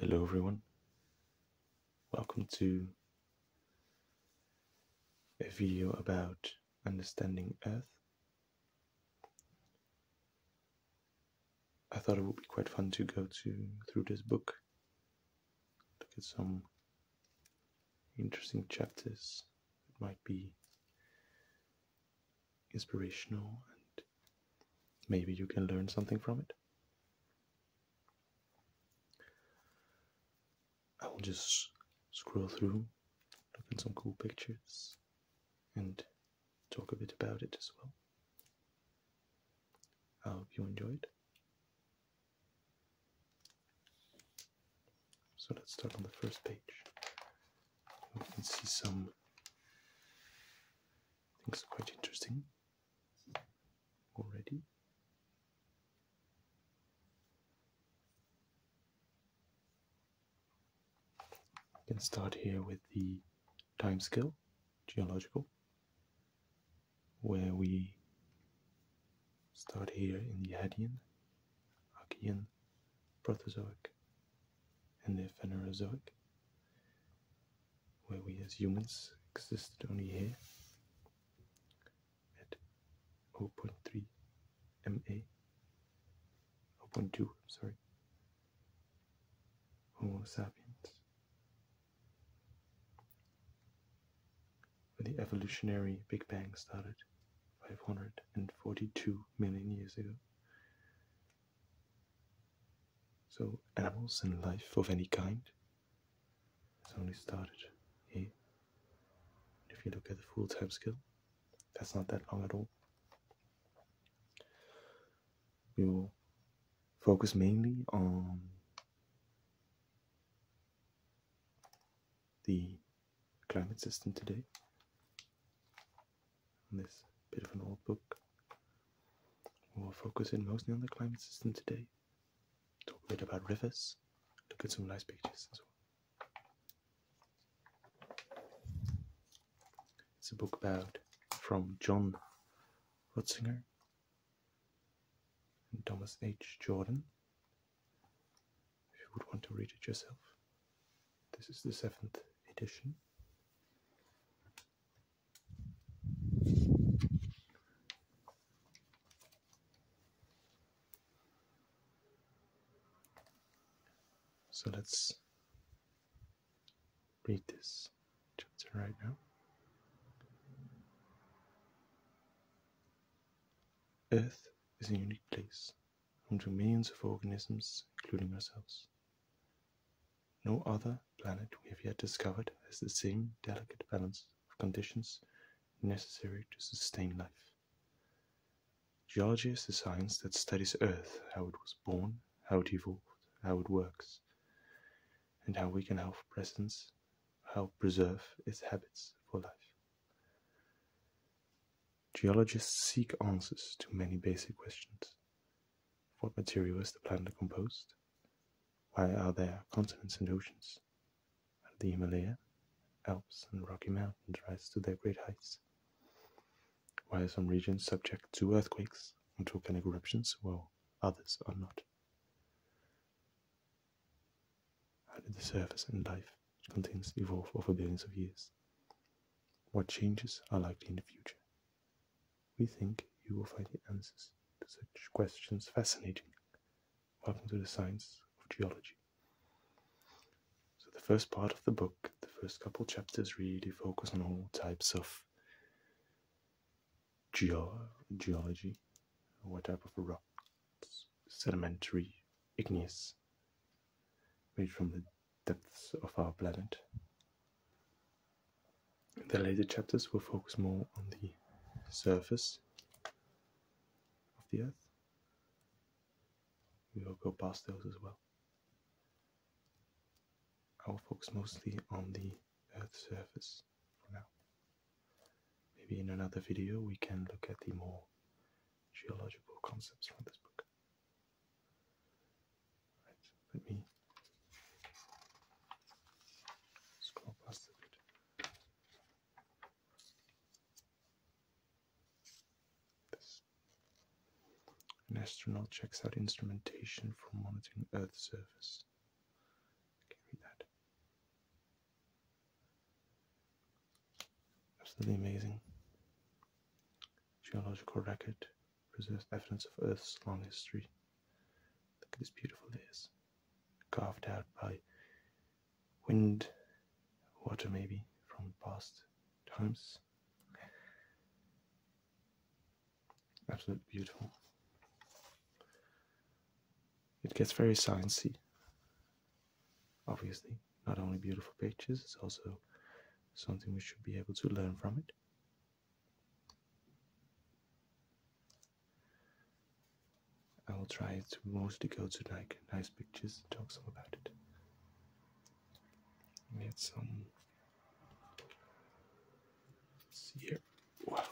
Hello, everyone. Welcome to a video about understanding Earth. I thought it would be quite fun to go through this book, look at some interesting chapters It might be inspirational and maybe you can learn something from it. I will just scroll through, look at some cool pictures, and talk a bit about it as well. I hope you enjoyed. So let's start on the first page. We can see some things quite interesting already. We can start here with the time scale, geological, where we start here in the Adian, Achaean, Protozoic and the Phanerozoic, where we as humans existed only here at 0.3 MA, 0.2, sorry, Homo sapiens. Where the evolutionary Big Bang started 542 million years ago. So, animals and life of any kind has only started here. If you look at the full time scale, that's not that long at all. We will focus mainly on the climate system today. this bit of an old book, we'll focus in mostly on the climate system today. Talk a bit about rivers, look at some nice pictures as well. It's a book about from John Rutzinger and Thomas H. Jordan if you would want to read it yourself. This is the seventh edition. So let's read this chapter right now. Earth is a unique place onto millions of organisms, including ourselves. No other planet we have yet discovered has the same delicate balance of conditions necessary to sustain life. Geology is the science that studies Earth, how it was born, how it evolved, how it works, and how we can help preserve its habits for life. Geologists seek answers to many basic questions. What material is the planet composed? Why are there continents and oceans? How do the Himalaya, Alps, and Rocky Mountains rise to their great heights? Why are some regions subject to earthquakes and volcanic eruptions while others are not? How did the surface and life it contains evolve over billions of years? what changes are likely in the future. We think you will find the answers to such questions fascinating. Welcome to the science of geology. So, the first part of the book, the first couple chapters, really focus on all types of geology, what type of rocks, sedimentary, igneous, made from the depths of our planet. The later chapters will focus more on the surface of the Earth. We will go past those as well. I will focus mostly on the Earth's surface for now. Maybe in another video we can look at the more geological concepts from this book let me scroll past a An astronaut checks out instrumentation for monitoring Earth's surface. Okay, read that. Absolutely amazing. Geological record preserves evidence of Earth's long history. Look at these beautiful layers, carved out by wind, water maybe from past times. Absolutely beautiful. It gets very sciencey obviously not only beautiful pictures it's also something we should be able to learn from it i will try to mostly go to like nice pictures and talk some about it we had some see here wow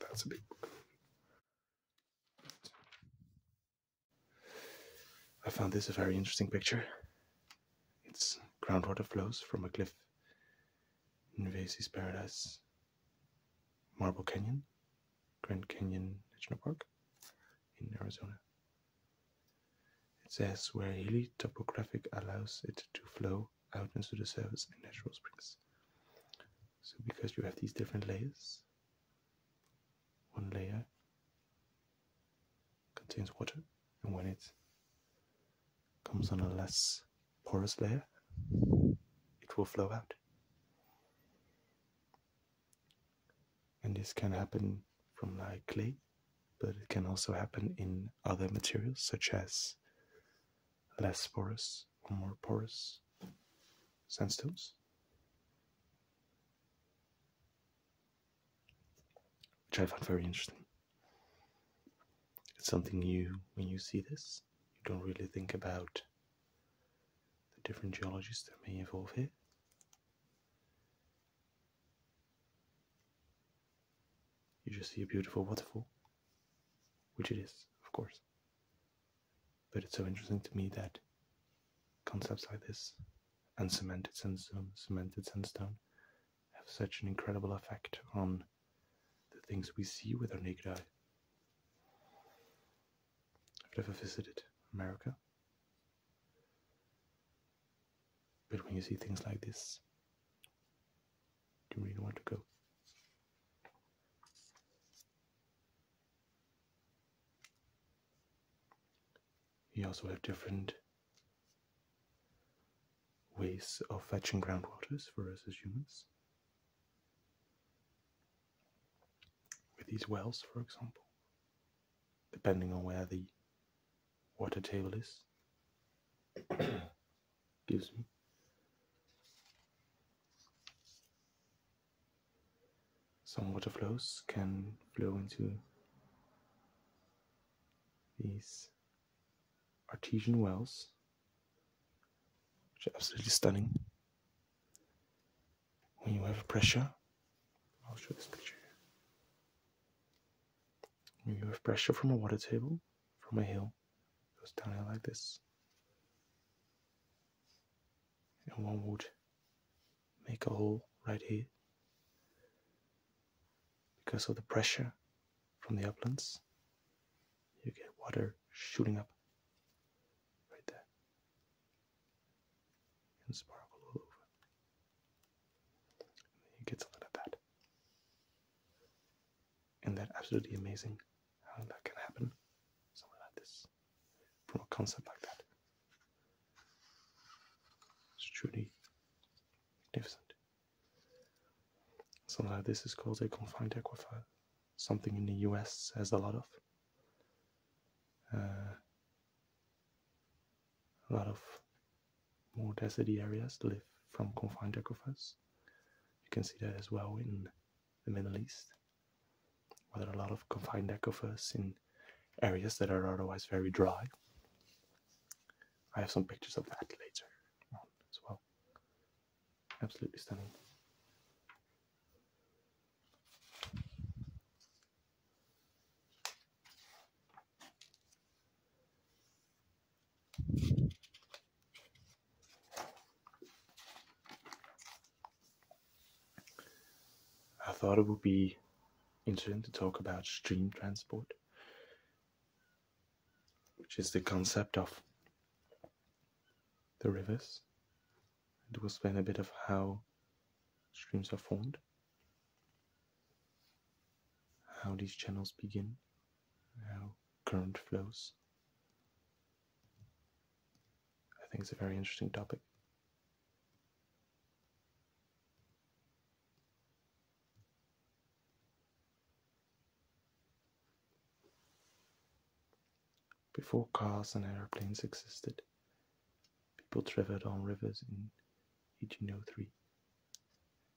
that's a big I found this a very interesting picture. It's groundwater flows from a cliff in Vacy's Paradise, Marble Canyon, Grand Canyon National Park in Arizona. It says where hilly topographic allows it to flow out into the surface in natural springs. So because you have these different layers, one layer contains water, and when it comes on a less porous layer, it will flow out. And this can happen from like clay, but it can also happen in other materials such as less porous or more porous sandstones which I found very interesting. It's something new when you see this, you don't really think about the different geologies that may evolve here. You just see a beautiful waterfall, which it is, of course. But it's so interesting to me that concepts like this uncemented sandstone, cemented sandstone, have such an incredible effect on the things we see with our naked eye. I've never visited America. But when you see things like this, you really want to go. We also have different ways of fetching groundwaters for us as humans. With these wells, for example, depending on where the water table is, gives me some water flows can flow into these artesian wells, which are absolutely stunning. When you have pressure, I'll show this picture. When you have pressure from a water table, from a hill, it goes down here like this, and one would make a hole right here because of the pressure from the uplands you get water shooting up right there and sparkle all over and you get something like that and that absolutely amazing how that can happen something like this from a concept like that. It's truly magnificent. So like this is called a confined aquifer, something in the US has a lot of. Uh, a lot of more deserty areas live from confined aquifers. You can see that as well in the Middle East where there are a lot of confined aquifers in areas that are otherwise very dry. I have some pictures of that later as well. Absolutely stunning. I thought it would be interesting to talk about stream transport, which is the concept of the rivers. It will explain a bit of how streams are formed, how these channels begin, how current flows. I think it's a very interesting topic. Before cars and airplanes existed, people traveled on rivers in 1803.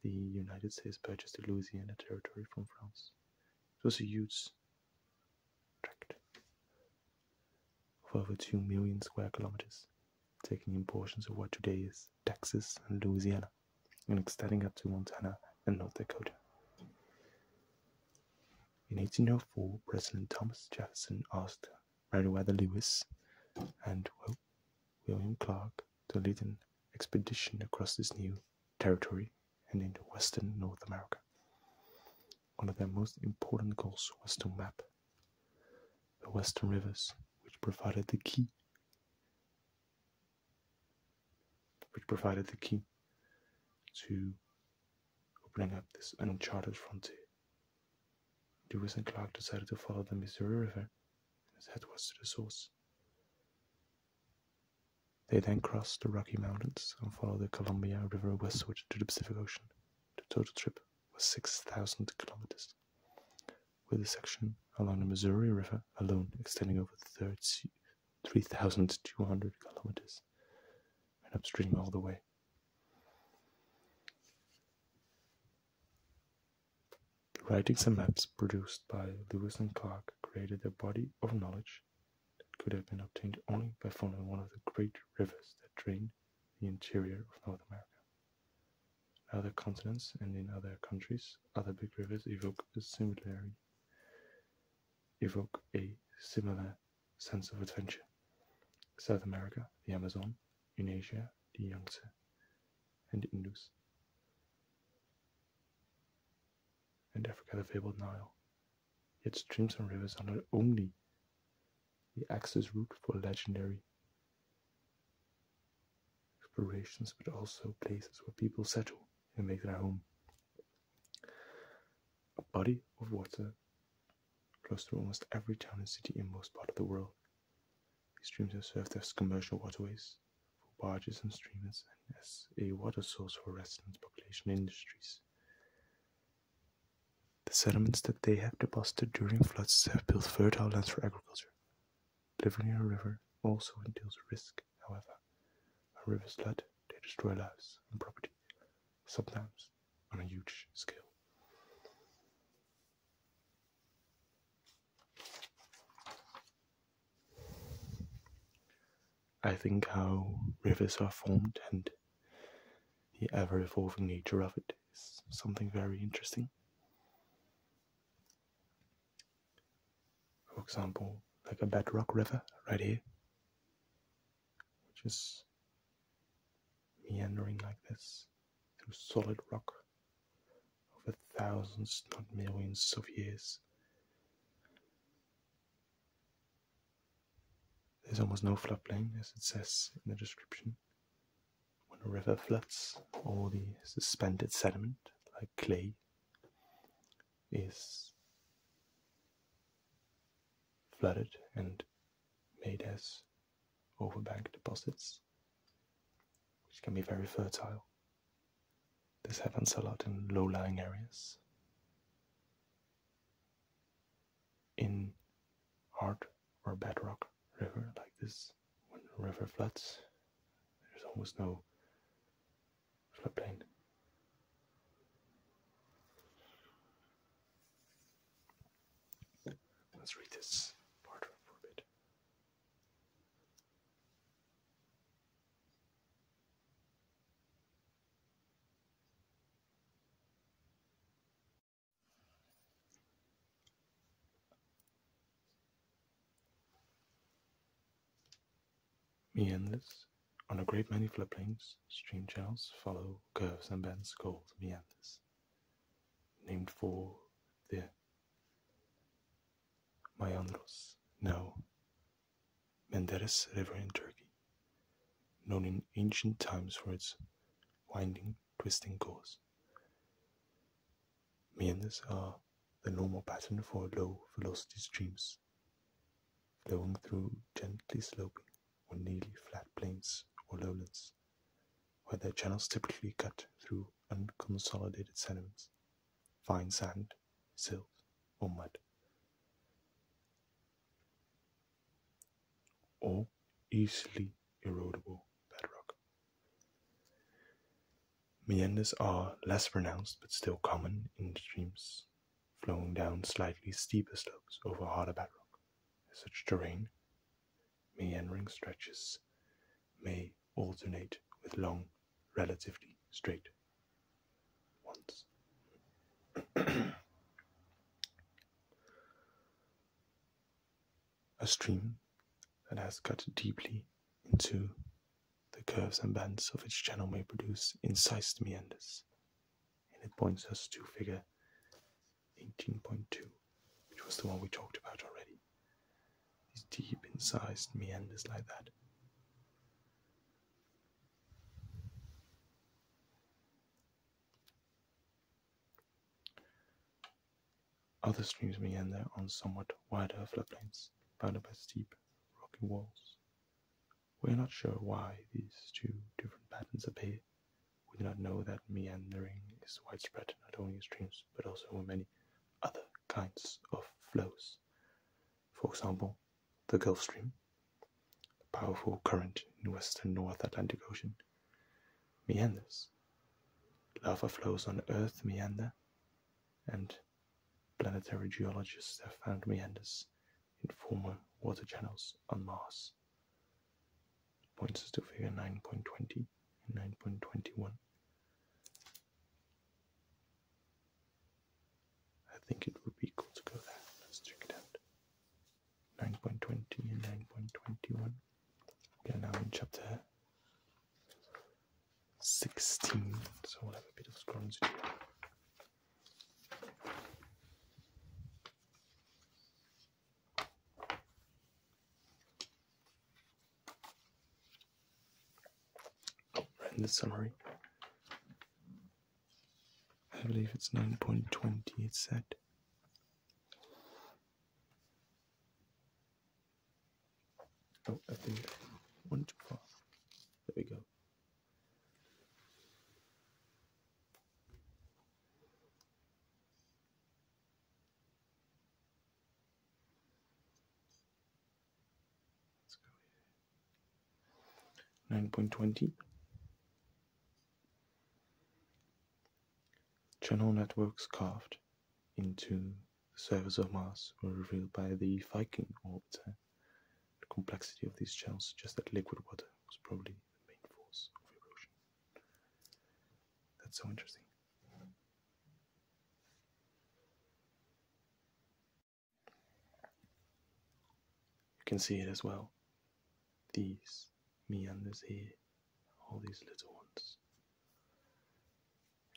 The United States purchased the Louisiana Territory from France. It was a huge tract for over 2 million square kilometers, taking in portions of what today is Texas and Louisiana, and extending up to Montana and North Dakota. In 1804, President Thomas Jefferson asked Meriwether Lewis and William Clark to lead an expedition across this new territory and into western North America. One of their most important goals was to map the western rivers, which provided the key which provided the key to opening up this uncharted frontier. Lewis and Clark decided to follow the Missouri River as its headwaters to the source. They then crossed the Rocky Mountains and followed the Columbia River westward to the Pacific Ocean. The total trip was 6,000 kilometers, with a section along the Missouri River alone extending over 3,200 kilometers and upstream all the way. The writings and maps produced by Lewis and Clark created a body of knowledge that could have been obtained only by following one of the great rivers that drain the interior of North America. In other continents and in other countries, other big rivers evoke a similar sense of adventure. South America, the Amazon, in Asia, the Yangtze, and the Indus, and Africa, the fabled Nile. Yet streams and rivers are not only the access route for legendary explorations, but also places where people settle and make their home. A body of water flows through almost every town and city in most part of the world. These streams have served as commercial waterways for barges and steamers and as a water source for residents, population, industries. The sediments that they have deposited during floods have built fertile lands for agriculture. Living near a river also entails risk, however. when rivers flood, they destroy lives and property, sometimes on a huge scale. I think how rivers are formed and the ever evolving nature of it something very interesting. For example, like a bedrock river right here, which is meandering like this through solid rock over thousands, not millions of years. There's almost no floodplain, as it says in the description when a river floods all the suspended sediment like clay is flooded and made as overbank deposits, which can be very fertile. This happens a lot in low lying areas in hard or bedrock river like this, when the river floods, there's almost no floodplain. Let's read this part for a bit. Meanders on a great many floodplains, stream channels follow curves and bends called meanders, named for the Mayandros, now Menderes River in Turkey, known in ancient times for its winding twisting course. Meanders are the normal pattern for low velocity streams, flowing through gently sloping or nearly flat plains or lowlands, where their channels typically cut through unconsolidated sediments, fine sand, silt, or mud or easily erodible bedrock. Meanders are less pronounced but still common in streams flowing down slightly steeper slopes over harder bedrock. such terrain, meandering stretches may alternate with long, relatively straight ones. a stream that has cut deeply into the curves and bends of its channel may produce incised meanders, and it points us to figure 18.2, which was the one we talked about already. These deep incised meanders like that. Other streams meander on somewhat wider floodplains bounded by steep, rocky walls. We are not sure why these two different patterns appear. We do not know that meandering is widespread not only in streams but also in many other kinds of flows. For example, the Gulf Stream, a powerful current in western North Atlantic Ocean, meanders. Lava flows on Earth meander, and planetary geologists have found meanders in former water channels on Mars. points us to figure 9.20 and 9.21. I think it would be cool to go there. Let's check it out. 9.20 and 9.21. We are now in chapter 16, so we'll have a bit of scrolling to do. Oh, the summary. I believe it's 9.20, it said. Oh, I think one too far. There we go. Nine point twenty. Channel networks carved into the surface of Mars were revealed by the Viking orbiter. The complexity of these channels suggests that liquid water was probably the main force of erosion. That's so interesting. You can see it as well. These meanders here, all these little ones,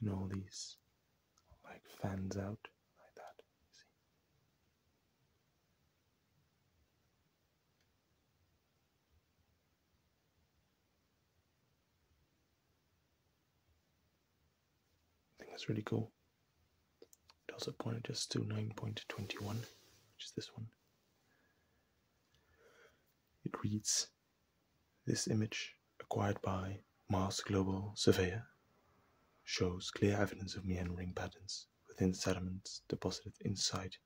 and all these like fans out like that. See? I think that's really cool. It also pointed just to 9.21, which is this one. It reads This image, acquired by Mars Global Surveyor, shows clear evidence of meandering patterns within sediments deposited inside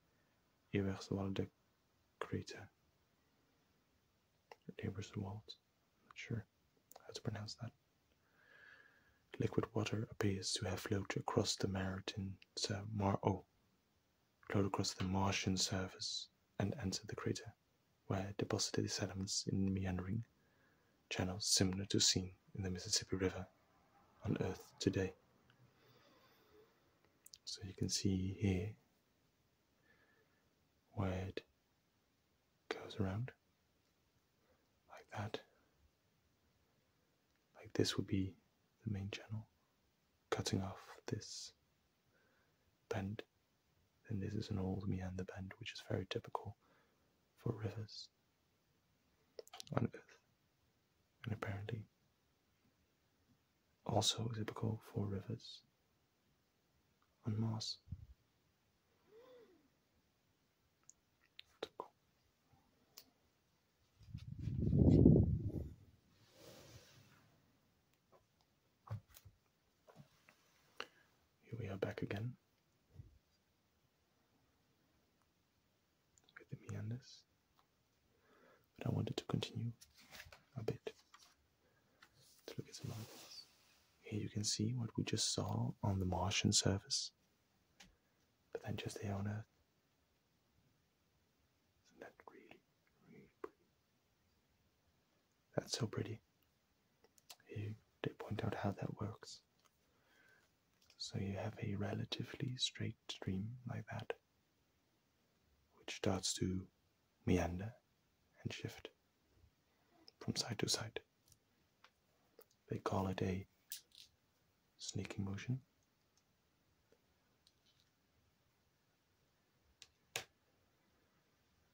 Eberswalde crater. Eberswald, not sure how to pronounce that. Liquid water appears to have flowed across the mountain to Mar oh flowed across the Martian surface and entered the crater, where it deposited its sediments in meandering channels similar to seen in the Mississippi River on Earth today. So you can see here where it goes around like that. Like this would be the main channel cutting off this bend. And this is an old meander bend, which is very typical for rivers on Earth. And apparently also typical for rivers on Mars. Here we are back again with the meanders, but I wanted to continue a bit to look at some other Here you can see what we just saw on the Martian surface, but then just here on Earth. That's so pretty. You did point out how that works. So you have a relatively straight stream like that, which starts to meander and shift from side to side. They call it a sneaking motion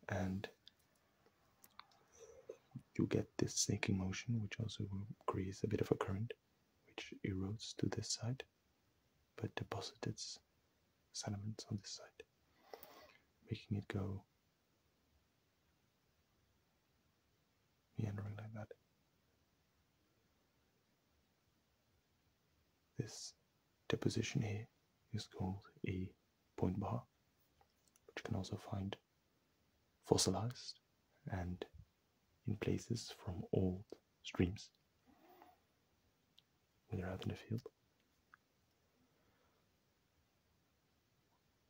and you get this sinking motion, which also creates a bit of a current, which erodes to this side, but deposits sediments on this side, making it go meandering like that. This deposition here is called a point bar, which you can also find fossilized and in places from old streams when you're out in the field.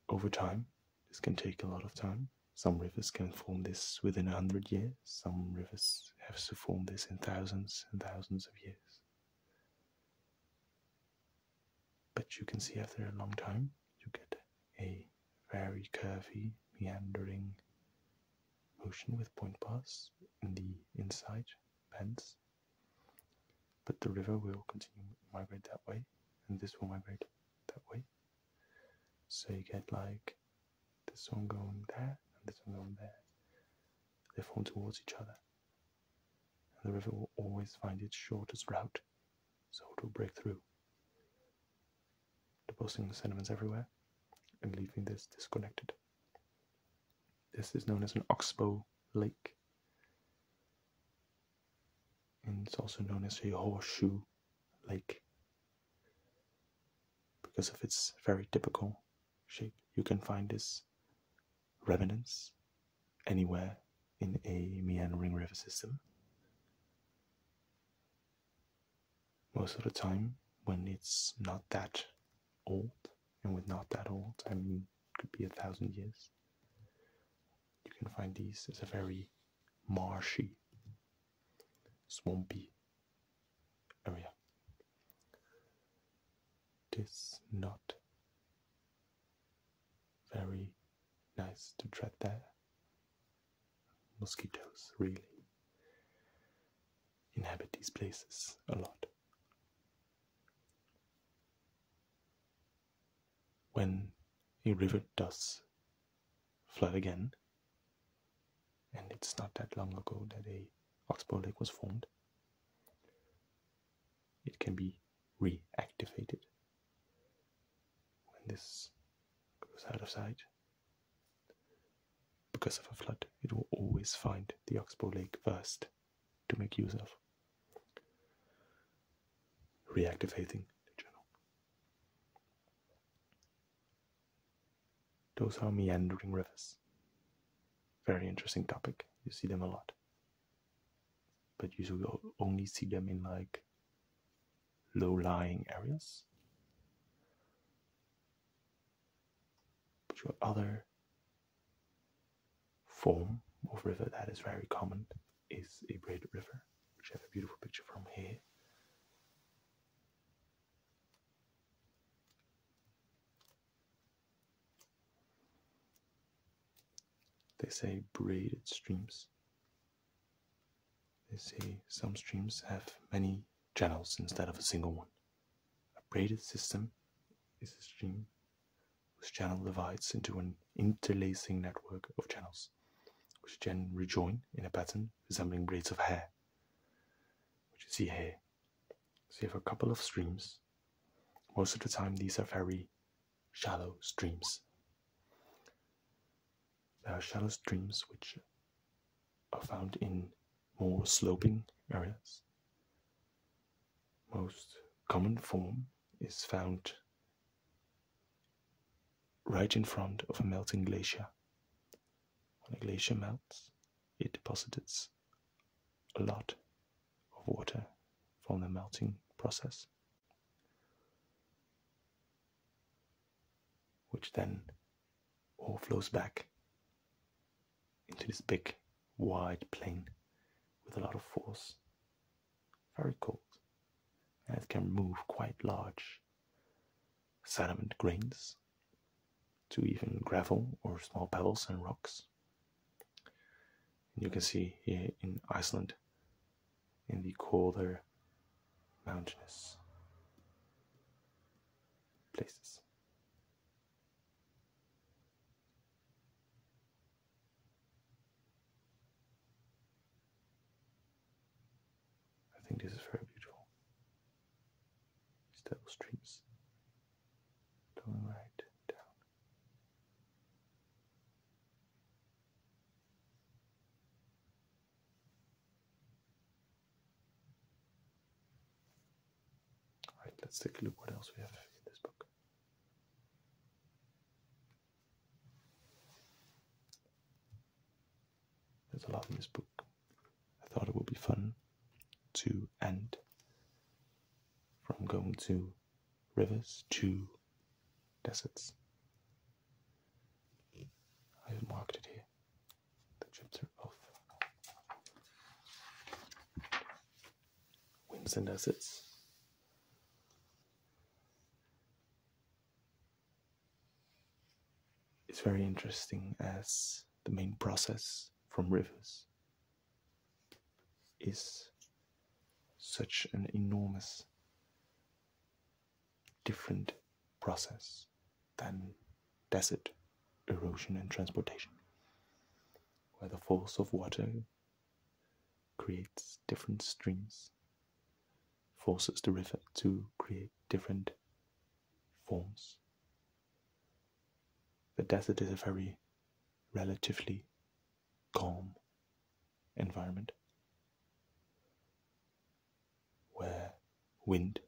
Over time, this can take a lot of time. Some rivers can form this within a hundred years, some rivers have formed this in thousands and thousands of years. But you can see after a long time, you get a very curvy, meandering motion with point bars in the inside bends. But the river will continue to migrate that way, and this will migrate that way. So you get like this one going there, and this one going there. They form towards each other. And the river will always find its shortest route, so it will break through, depositing the sediments everywhere and leaving this disconnected. This is known as an oxbow lake. And it's also known as a horseshoe lake because of its very typical shape. You can find this remnants anywhere in a meandering river system. Most of the time, when it's not that old, and with not that old, I mean, it could be a thousand years, you can find these as a very marshy, swampy area. It is not very nice to treat there. mosquitoes really inhabit these places a lot. When a river does flood again, and it's not that long ago that a oxbow lake was formed. It can be reactivated when this goes out of sight. Because of a flood, it will always find the oxbow lake first to make use of. Reactivating the channel. Those are meandering rivers. Very interesting topic. You see them a lot. But you should only see them in like low lying areas. But your other form of river that is very common is a braided river, which I have a beautiful picture from here. They say braided streams. They say some streams have many channels instead of a single one. A braided system is a stream whose channel divides into an interlacing network of channels, which then rejoin in a pattern resembling braids of hair which you see here. So you have a couple of streams. Most of the time, these are very shallow streams. There are shallow streams which are found in more sloping areas. Most common form is found right in front of a melting glacier. When a glacier melts, it deposits a lot of water from the melting process, which then all flows back into this big, wide plain with a lot of force. Very cold, and it can move quite large sediment grains to even gravel or small pebbles and rocks. You can see here in Iceland, in the colder, mountainous places. I think this is very beautiful. These double streams going right down. Alright, let's take a look what else we have in this book. There's a lot in this book. I thought it would be fun to end from going to rivers to deserts. I've marked it here. The chapter of winds and deserts. It's very interesting as the main process from rivers is such an enormous different process than desert erosion and transportation, where the force of water creates different streams, forces the river to create different forms the desert is a very relatively calm environment where wind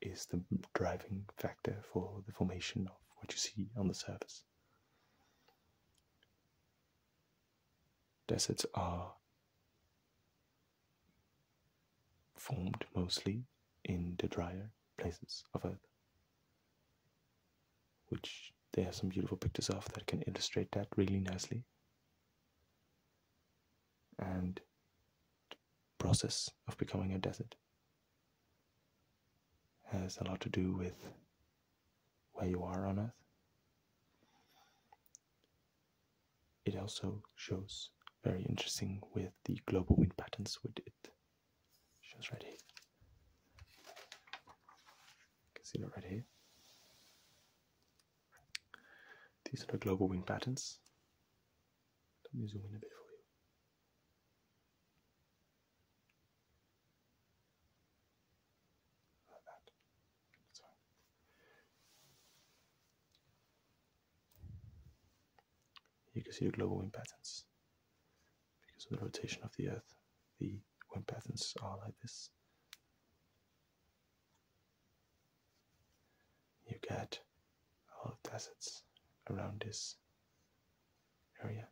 is the driving factor for the formation of what you see on the surface. Deserts are formed mostly in the drier places of Earth, which there are some beautiful pictures of that can illustrate that really nicely. And process of becoming a desert has a lot to do with where you are on Earth it also shows very interesting with the global wind patterns with it shows right here. You can see that right here. These are the global wind patterns. Let me zoom in a bit for you. Like that. Sorry. You can see the global wind patterns. Because of the rotation of the Earth, the wind patterns are like this. You get all lot of deserts around this area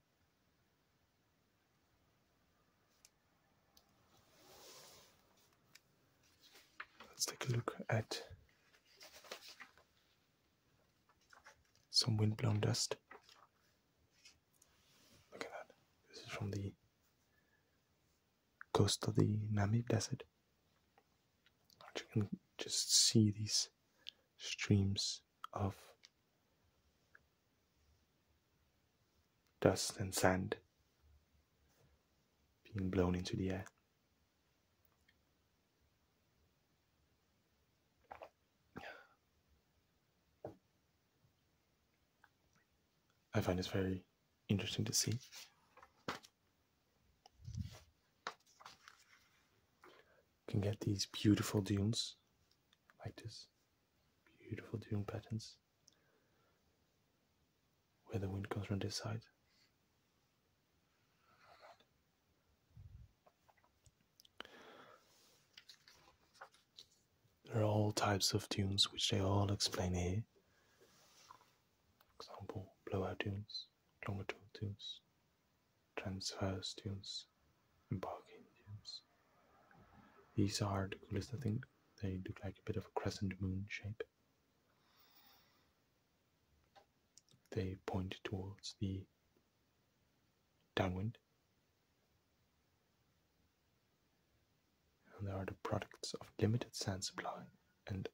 let's take a look at some wind-blown dust. Look at that. This is from the coast of the Namib Desert. You can just see these streams of dust and sand being blown into the air. I find it's very interesting to see. You can get these beautiful dunes like this, beautiful dune patterns where the wind comes from this side. There are all types of tunes which they all explain here. For example, blowout tunes, longitudinal tunes, transverse tunes, embarking tunes. These are the coolest, I think. They look like a bit of a crescent moon shape they point towards the downwind. And there are the products of limited sand supply and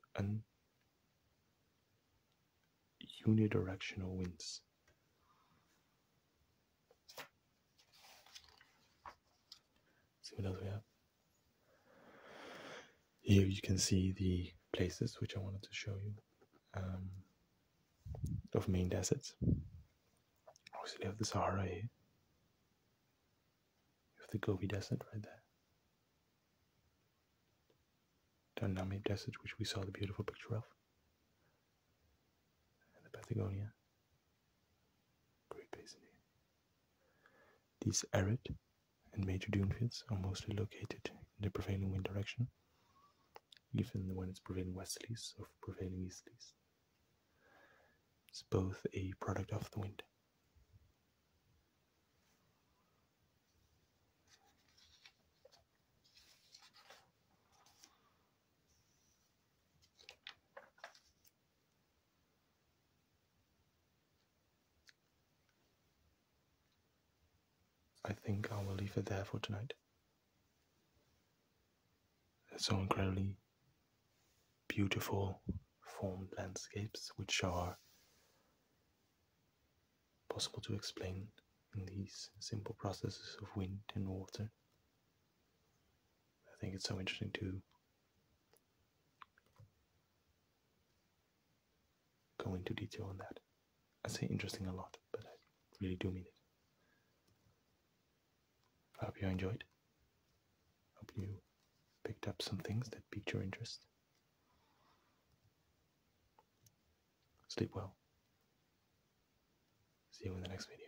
unidirectional winds. See what else we have. Here you can see the places which I wanted to show you um, of main deserts. Obviously, of the Sahara here, the Gobi Desert right there, the Namib Desert, which we saw the beautiful picture of, and the Patagonia. Great Basin here. These arid and major dune fields are mostly located in the prevailing wind direction, even when it's prevailing westerlies or prevailing easterlies. It's both a product of the wind. I think I will leave it there for tonight. It's so incredibly beautiful formed landscapes which are possible to explain in these simple processes of wind and water. I think it's so interesting too go into detail on that. I say interesting a lot, but I really do mean it. I hope you enjoyed. Hope you picked up some things that piqued your interest. Sleep well. See you in the next video.